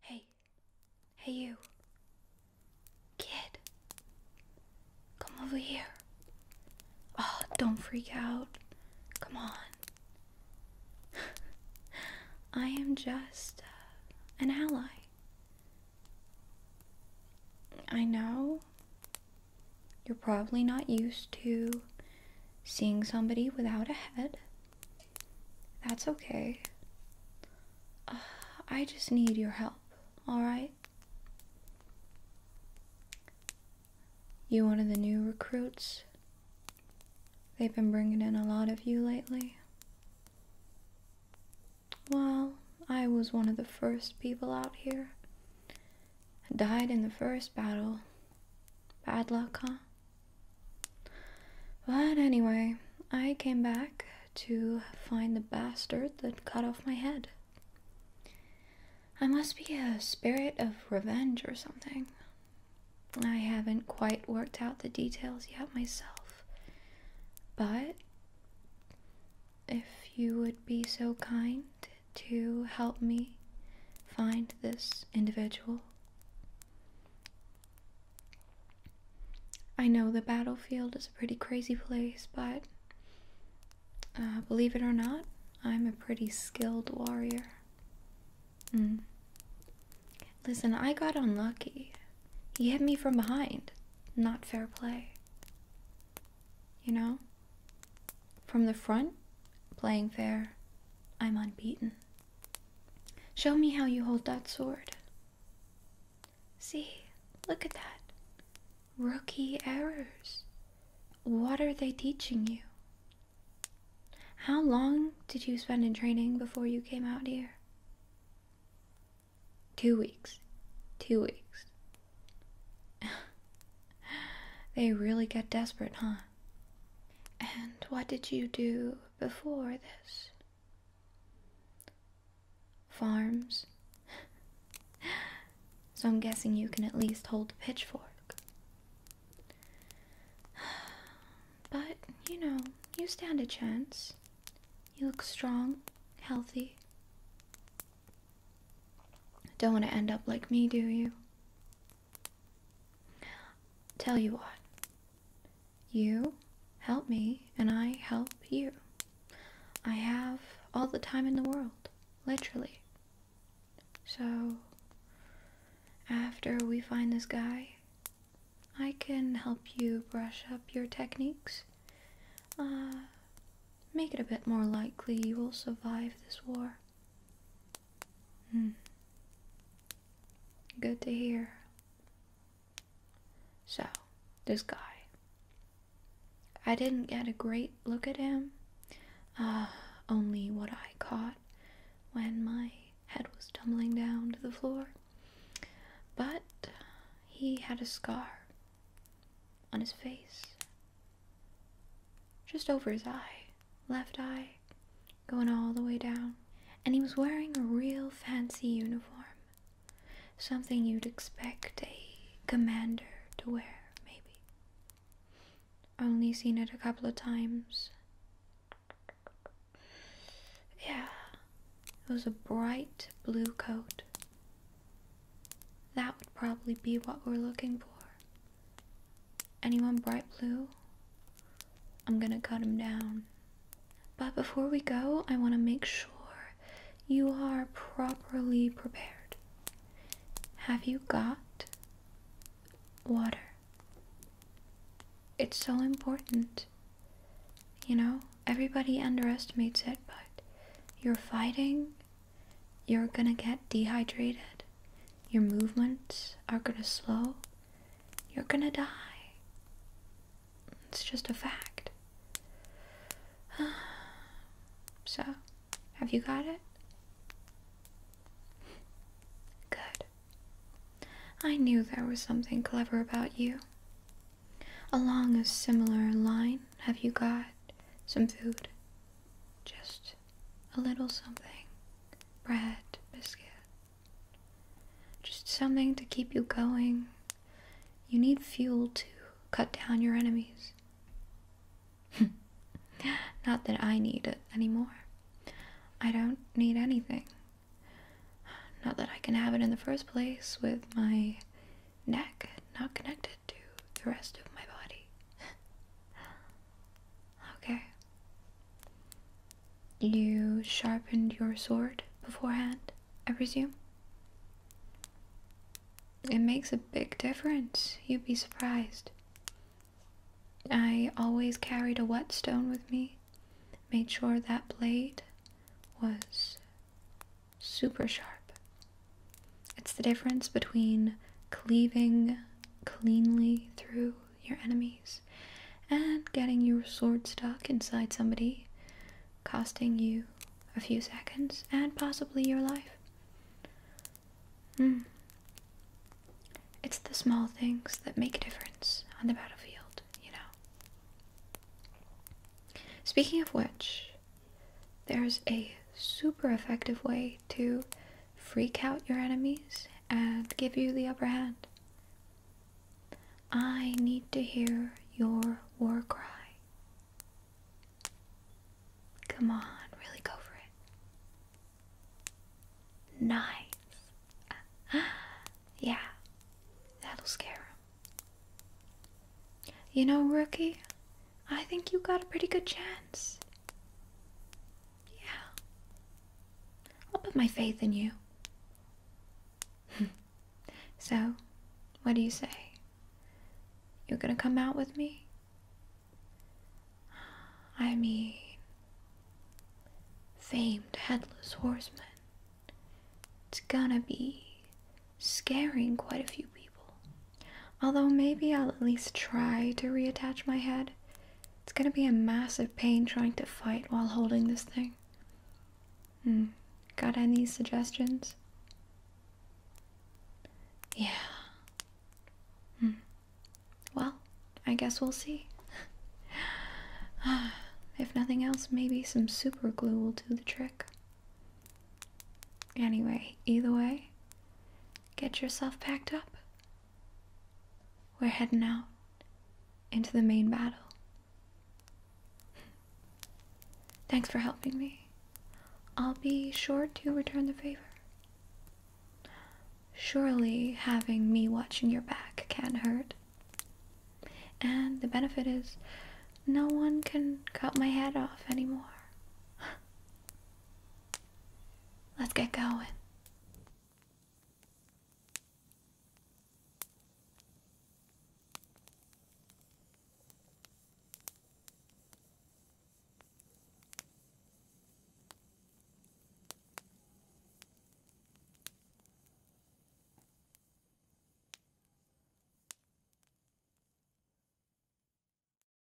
Hey, hey, you kid, come over here. Oh, don't freak out. Come on. I am just uh, an ally. I know you're probably not used to seeing somebody without a head. That's okay. I just need your help, alright? You one of the new recruits? They've been bringing in a lot of you lately. Well, I was one of the first people out here. died in the first battle. Bad luck, huh? But anyway, I came back to find the bastard that cut off my head. I must be a spirit of revenge or something. I haven't quite worked out the details yet myself, but if you would be so kind to help me find this individual. I know the battlefield is a pretty crazy place, but uh, believe it or not, I'm a pretty skilled warrior. Mm. Listen, I got unlucky. He hit me from behind. Not fair play. You know? From the front, playing fair, I'm unbeaten. Show me how you hold that sword. See, look at that. Rookie errors. What are they teaching you? How long did you spend in training before you came out here? Two weeks. Two weeks. they really get desperate, huh? And what did you do before this? Farms. so I'm guessing you can at least hold a pitchfork. But, you know, you stand a chance. You look strong, healthy. Don't want to end up like me, do you? Tell you what. You help me, and I help you. I have all the time in the world, literally. So, after we find this guy, I can help you brush up your techniques. Uh, make it a bit more likely you will survive this war. Hmm. Good to hear. So, this guy. I didn't get a great look at him, uh, only what I caught when my head was tumbling down to the floor. But he had a scar on his face, just over his eye, left eye, going all the way down. And he was wearing a real fancy uniform, something you'd expect a commander to wear, maybe. Only seen it a couple of times. Yeah, it was a bright blue coat. That would probably be what we're looking for. Anyone bright blue? I'm gonna cut him down. But before we go, I want to make sure you are properly prepared. Have you got water? It's so important. You know, everybody underestimates it, but you're fighting, you're gonna get dehydrated, your movements are gonna slow, you're gonna die. It's just a fact. So, have you got it? Good. I knew there was something clever about you. Along a similar line, have you got some food? Just a little something. Bread, biscuit. Just something to keep you going you need fuel to cut down your enemies. Not that I need it anymore. I don't need anything. Not that I can have it in the first place with my neck not connected to the rest of my body. okay. You sharpened your sword beforehand? I presume? It makes a big difference. You'd be surprised. I always carried a whetstone with me, made sure that blade was super sharp. It's the difference between cleaving cleanly through your enemies and getting your sword stuck inside somebody, costing you a few seconds and possibly your life. Mm. It's the small things that make a difference on the battlefield, you know. Speaking of which, there's a super effective way to freak out your enemies and give you the upper hand. I need to hear your war cry. Come on, really go for it. Nice. yeah, that'll scare You know, rookie, I think you got a pretty good chance. Yeah. I'll put my faith in you. so, what do you say? You're gonna come out with me? I mean, famed headless horseman. It's gonna be scaring quite a few people. Although maybe I'll at least try to reattach my head it's gonna be a massive pain trying to fight while holding this thing. Hmm. Got any suggestions? Yeah. Hmm. Well, I guess we'll see. if nothing else, maybe some super glue will do the trick. Anyway, either way, get yourself packed up we're heading out into the main battle. Thanks for helping me. I'll be sure to return the favor. Surely having me watching your back can't hurt. And the benefit is no one can cut my head off anymore. Let's get going.